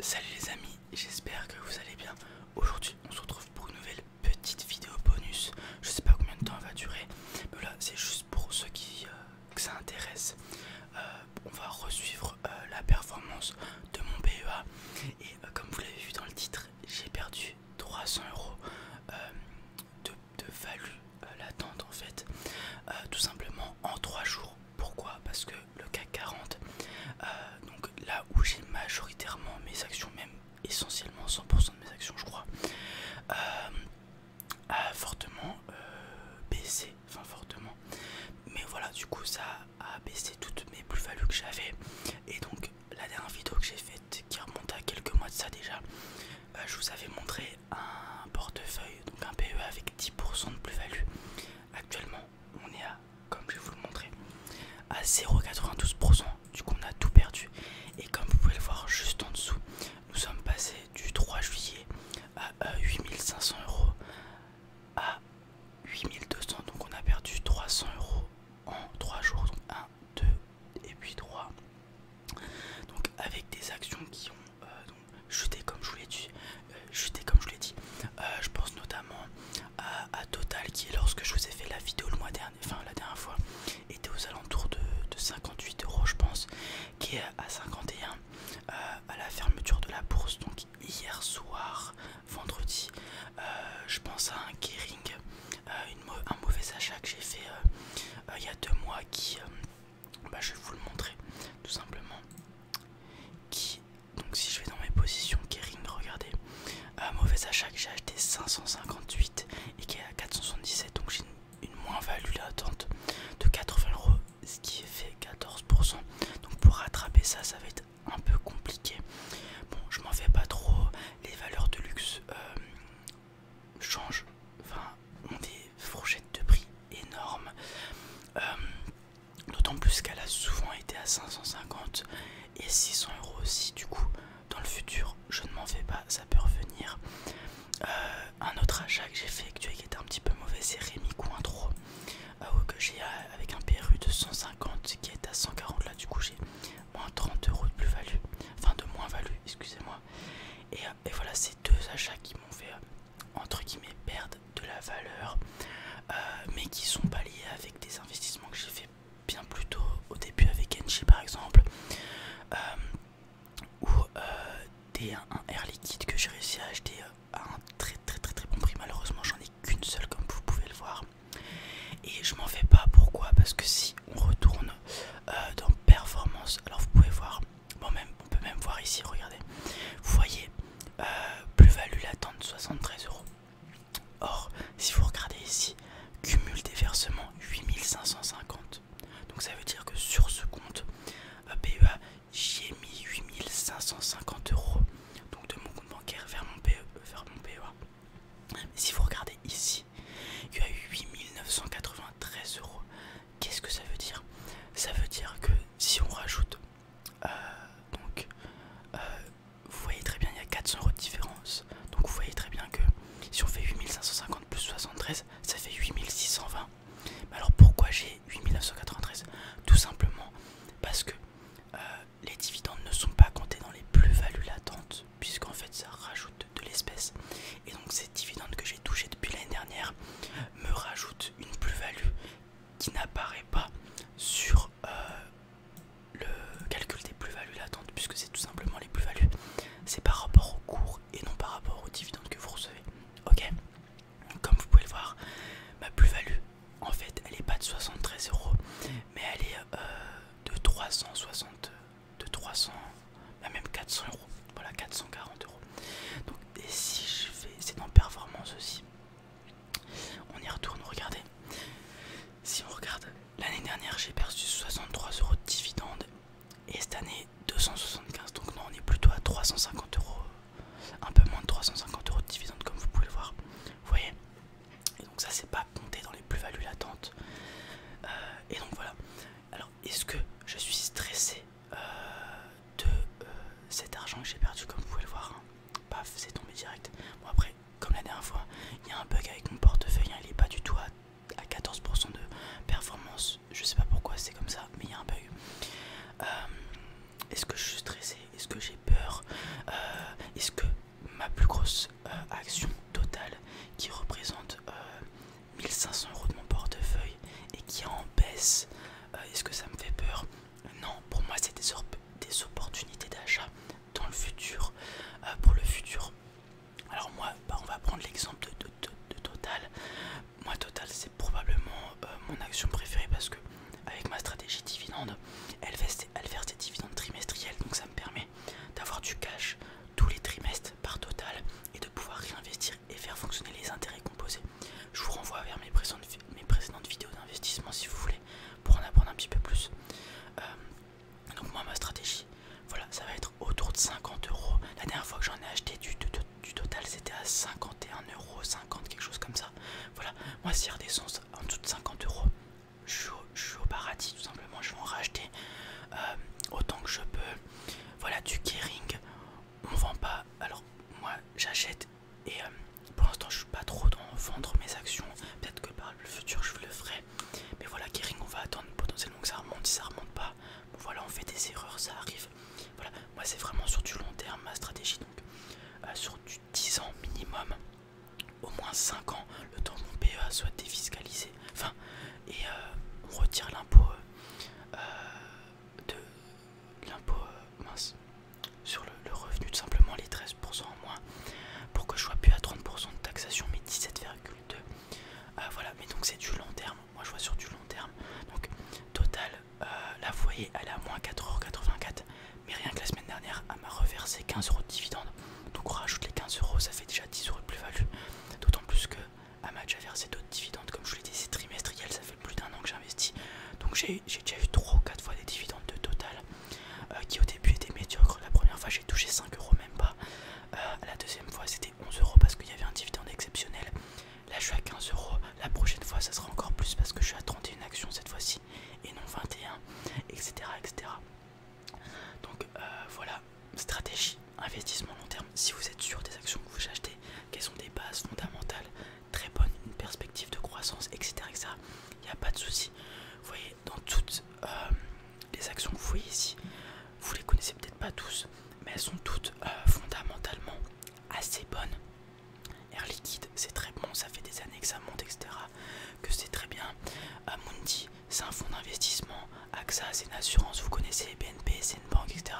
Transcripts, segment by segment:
Salut les amis, j'espère que vous allez bien. Aujourd'hui, on se retrouve pour une nouvelle petite vidéo bonus. Je sais pas combien de temps elle va durer, mais là, c'est juste pour ceux qui euh, ça intéresse. Euh, on va resuivre euh, la performance de mon PEA. et comme vous l'avez vu dans le titre, j'ai perdu 300 euros de, de value l'attente latente en fait, tout simplement en 3 jours pourquoi Parce que le CAC 40, euh, donc là où j'ai majoritairement mes actions, même essentiellement 100% de mes actions, je crois, euh, a fortement euh, baissé, enfin fortement. Mais voilà, du coup, ça a baissé toutes mes plus-values que j'avais. Et donc, la dernière vidéo que j'ai faite, qui remonte à quelques mois de ça déjà, je vous avais montré un portefeuille, donc un PE avec 10% de plus-value. Actuellement, on est à, comme je vais vous le montrer, à 0,92%. Du coup, on a tout perdu. Et comme vous pouvez le voir juste en dessous, nous sommes passés du 3 juillet à 8500 euh, euros à 8200. Donc, on a perdu 300 euros en 3 jours. Donc, 1, 2 et puis 3. Donc, avec des actions qui ont. Euh, J'étais comme je vous l'ai dit. Euh, comme je dit. Euh, je pense notamment à, Total qui, lorsque je vous ai fait la vidéo le mois dernier, enfin la dernière fois, était aux alentours de, 58 euros, je pense, qui est à 51 euh, à la fermeture de la bourse. Donc hier soir, vendredi, je pense à un Kering, un mauvais achat que j'ai fait il y a deux mois qui, bah, je vais vous le montrer tout simplement, qui donc si je vais dans mes positions Kering, regardez, un euh, mauvais achat que j'ai acheté 558 et qui est à 477, donc j'ai une, moins-value latente de 80 euros, ce qui fait 14%. Donc pour rattraper ça, ça va être un peu compliqué. Bon, je m'en fais pas trop, les valeurs de luxe euh, changent, enfin ont des fourchettes de prix énormes. Euh, D'autant plus qu'elle a souvent été à 550 et 600 euros aussi. Du coup, dans le futur, je ne m'en fais pas, ça peut revenir. Euh, un autre achat que j'ai fait vois qui était un petit peu mauvais, c'est Rémi Cointreau euh, que j'ai euh, avec un PRU de 150 qui est à 140. Là, du coup, j'ai moins 30 euros de plus-value, enfin de moins-value, excusez-moi. Et, et voilà, c'est deux achats qui m'ont fait entre guillemets perdent de la valeur euh, mais qui sont pas liés avec des investissements que j'ai fait bien plus tôt au début avec Enchi par exemple euh, ou euh, des, un, air liquide que j'ai réussi à acheter à un très très très très bon prix malheureusement j'en ai qu'une seule comme vous pouvez le voir et je m'en fais pas pourquoi parce que si on retourne dans performance alors vous pouvez voir même, on peut même voir ici regardez vous voyez euh, plus-value latente 73 euros. Or, si vous regardez ici, cumul des versements 8550. Donc ça veut dire que sur ce compte euh, PEA, j'ai mis 8550 euros donc de mon compte bancaire vers mon, e vers mon PEA. Mais si vous regardez ici, il y a eu 8993 euros. Qu'est-ce que ça veut dire Ça veut dire que si on rajoute euh, donc, euh, vous voyez très bien, il y a 400 euros de différence. Donc, vous voyez très bien que si on fait 8550 plus 73, ça fait 8620. Mais alors, pourquoi j'ai 8993 Tout simplement parce que euh, les dividendes ne sont pas comptés dans les plus-values latentes, puisqu'en fait, ça rajoute de l'espèce. Et donc, ces dividendes que j'ai touchés depuis l'année dernière me rajoutent une plus-value qui n'apparaît pas sur euh, le calcul des plus-values latentes, puisque c'est tout simplement les plus-values, c'est par rapport au cours et non par rapport aux dividendes que vous recevez. Ok Comme vous pouvez le voir, ma plus-value, en fait, elle n'est pas de 73 euros, mais elle est euh, de 360, de 300, bah, même 400 euros, voilà 440 euros. Donc, et si je fais, c'est dans performance aussi, on y retourne, regardez. Si on regarde, l'année dernière j'ai perçu 63 euros de dividendes et cette année 275. Donc non, on est plutôt à 350 euros, un peu moins de 350 euros de dividendes comme vous pouvez le voir. Vous voyez Et donc ça c'est pas compté dans les plus-values latentes. Euh, et donc voilà. Alors est-ce que je suis stressé euh, de euh, cet argent que j'ai perdu comme vous pouvez le voir hein paf, c'est tombé direct. Bon, après, comme la dernière fois, il y a un bug avec mon portefeuille, hein, il est pas du tout à, 14% de performance. Je sais pas pourquoi c'est comme ça, mais il y a un bug. Euh, est-ce que je suis stressé Est-ce que j'ai peur euh, Est-ce que ma plus grosse euh, action totale qui représente 1500 euros de mon portefeuille et qui en baisse, est-ce que ça me fait peur non, pour moi, c'est des, opportunités d'achat dans le futur, euh, pour le futur. Alors moi, bah, on va prendre l'exemple de, Total. Moi, Total, c'est probablement euh, mon action préférée parce que avec ma stratégie dividende, elle verse, elle verse des dividendes trimestriels, donc ça me permet d'avoir du cash tous les trimestres par Total et de pouvoir réinvestir et faire fonctionner les intérêts composés. Je vous renvoie vers mes précédentes, vidéos d'investissement si vous voulez pour en apprendre un petit peu plus. Euh, donc moi ma stratégie, voilà, ça va être autour de 50 euros. La dernière fois que j'en ai acheté du, total c'était à 51 euros, 50 quelque chose comme ça. Voilà, moi si sens en dessous de 50 euros, je suis au paradis tout simplement, je vais en racheter euh, autant que je peux. Voilà du caring, on vend pas. Alors moi j'achète et euh, pour l'instant, je suis pas trop dans vendre mes actions. Peut-être que par le futur, je le ferai. Mais voilà, Kering, on va attendre potentiellement que ça remonte. Si ça remonte pas, voilà, on fait des erreurs, ça arrive. Voilà, moi, c'est vraiment sur du long terme ma stratégie. Donc, euh, sur du 10 ans minimum, au moins 5 ans, le temps que mon PEA soit défiscalisé. Enfin, et euh, on retire l'impôt de l'impôt euh, mince sur le, revenu de simplement les 13% en moins pour que je sois plus à 30% de taxation mais 17,2 euh, voilà mais donc c'est du long terme moi je vois sur du long terme donc total euh, la foyer elle est à moins 4,84€ mais rien que la semaine dernière elle m'a reversé 15€ de dividendes donc on rajoute les 15€ ça fait déjà 10€ de plus-value d'autant plus que elle m'a déjà versé d'autres dividendes comme je l'ai dit c'est trimestriel ça fait plus d'un an que j'investis donc j'ai eu j'ai déjà eu 3 ou 4 fois des dividendes de Total euh, qui au début étaient médiocres. La première fois j'ai touché 5 euros même pas. Euh, la deuxième fois c'était 11 euros parce qu'il y avait un dividende exceptionnel. Là je suis à 15 euros. La prochaine fois ça sera encore plus parce que je suis à 31 actions cette fois-ci et non 21, etc. etc. Donc euh, voilà, stratégie, investissement long terme. Si vous êtes sûr des actions que vous achetez, qu'elles sont des bases fondamentales, très bonne, une perspective de croissance, etc. etc. Il n'y a pas de souci. Vous voyez, dans toutes euh, les actions que vous voyez ici, vous les connaissez peut-être pas tous, mais elles sont toutes euh, fondamentalement assez bonnes. Air Liquide, c'est très bon, ça fait des années que ça monte, etc. Que c'est très bien. Amundi, c'est un fonds d'investissement. AXA, c'est une assurance, vous connaissez. BNP, c'est une banque, etc.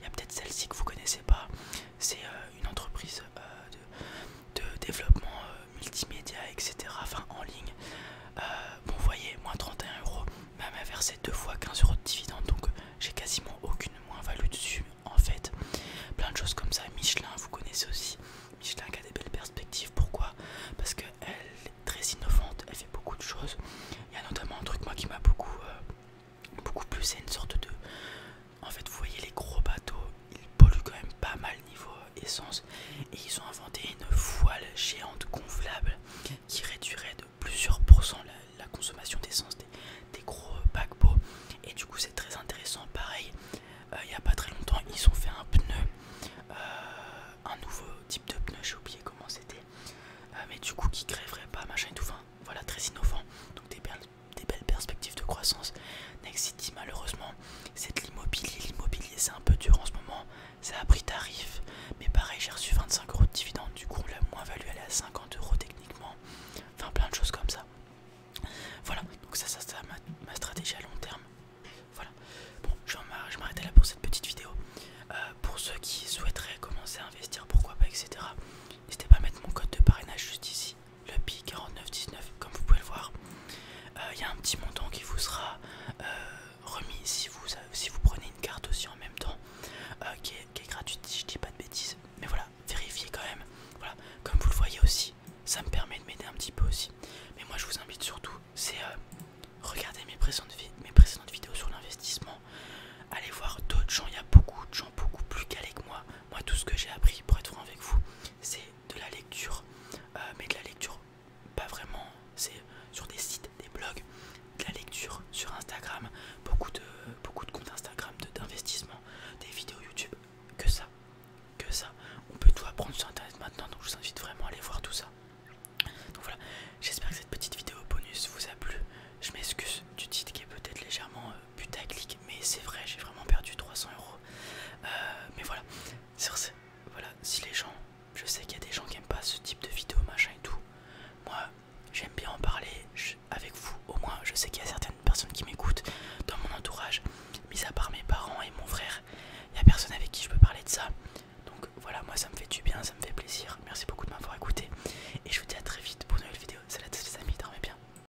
Il y a peut-être celle-ci que vous connaissez pas. C'est euh, une entreprise euh, de, développement euh, multimédia, etc. Enfin en ligne. Euh, bon, vous voyez, moins 31 euros, même versé deux fois 15 euros de dividende donc j'ai quasiment aucune moins-value dessus en fait. Plein de choses comme ça. Michelin, vous connaissez aussi. Michelin qui a des belles perspectives. Pourquoi Parce qu'elle est très innovante, elle fait beaucoup de choses. Il y a notamment un truc moi qui m'a beaucoup, beaucoup plus, c'est une sorte de, en fait vous voyez les gros bateaux ils polluent quand même pas mal niveau essence et ils ont inventé une voile géante gonflable qui réduirait de plusieurs pourcents la, consommation d'essence des, gros paquebots et du coup c'est très intéressant pareil euh, il n'y a pas très longtemps ils ont fait un pneu euh, un nouveau type de pneu j'ai oublié comment c'était euh, mais du coup qui crèverait pas machin et tout voilà très innovant donc des perles des belles perspectives de croissance. Next City, malheureusement, c'est de l'immobilier. L'immobilier, c'est un peu dur en ce moment. Ça a pris tarif, mais pareil, j'ai reçu 25 euros de dividendes. Du coup, la moins value, à 50 euros techniquement. Enfin, plein de choses comme ça. Voilà, donc ça, c'est ma, stratégie à long terme. Voilà, bon, je vais là pour cette petite vidéo. Euh, pour ceux qui souhaiteraient commencer à investir, pourquoi pas, etc., n'hésitez pas à mettre mon code de parrainage juste ici le Pi 4919 comme vous pouvez le voir il euh, y a un petit montant qui vous sera euh, remis euh, si vous, prenez une carte aussi en même temps qui, est, gratuite si je dis pas de bêtises mais voilà vérifiez quand même voilà comme vous le voyez aussi ça me permet de m'aider un petit peu aussi mais moi je vous invite surtout c'est regarder mes précédentes, mes précédentes vidéos sur l'investissement allez voir d'autres gens il y a beaucoup de gens beaucoup plus calés que moi moi, tout ce que j'ai appris, pour être franc avec vous, c'est de la lecture, euh, mais de la lecture pas vraiment, c'est sur des sites, des blogs, de la lecture sur Instagram, beaucoup de, beaucoup comptes Instagram, d'investissement, des vidéos YouTube, que ça, que ça. On peut tout apprendre sur Internet maintenant, donc je vous invite vraiment à aller voir tout ça. Donc voilà, j'espère que cette petite vidéo bonus vous a plu. Je m'excuse du titre qui est peut-être légèrement euh, clic, mais c'est vrai, j'ai vraiment perdu 300 euros. Euh, mais voilà, voilà, si les gens, je sais qu'il y a des gens qui n'aiment pas ce type de vidéo, machin et tout, moi j'aime bien en parler avec vous. Au moins, je sais qu'il y a certaines personnes qui m'écoutent dans mon entourage, mis à part mes parents et mon frère, il n'y a personne avec qui je peux parler de ça. Donc voilà, moi ça me fait du bien, ça me fait plaisir. Merci beaucoup de m'avoir écouté. Et je vous dis à très vite pour une nouvelle vidéo. Salut à tous les amis, dormez bien.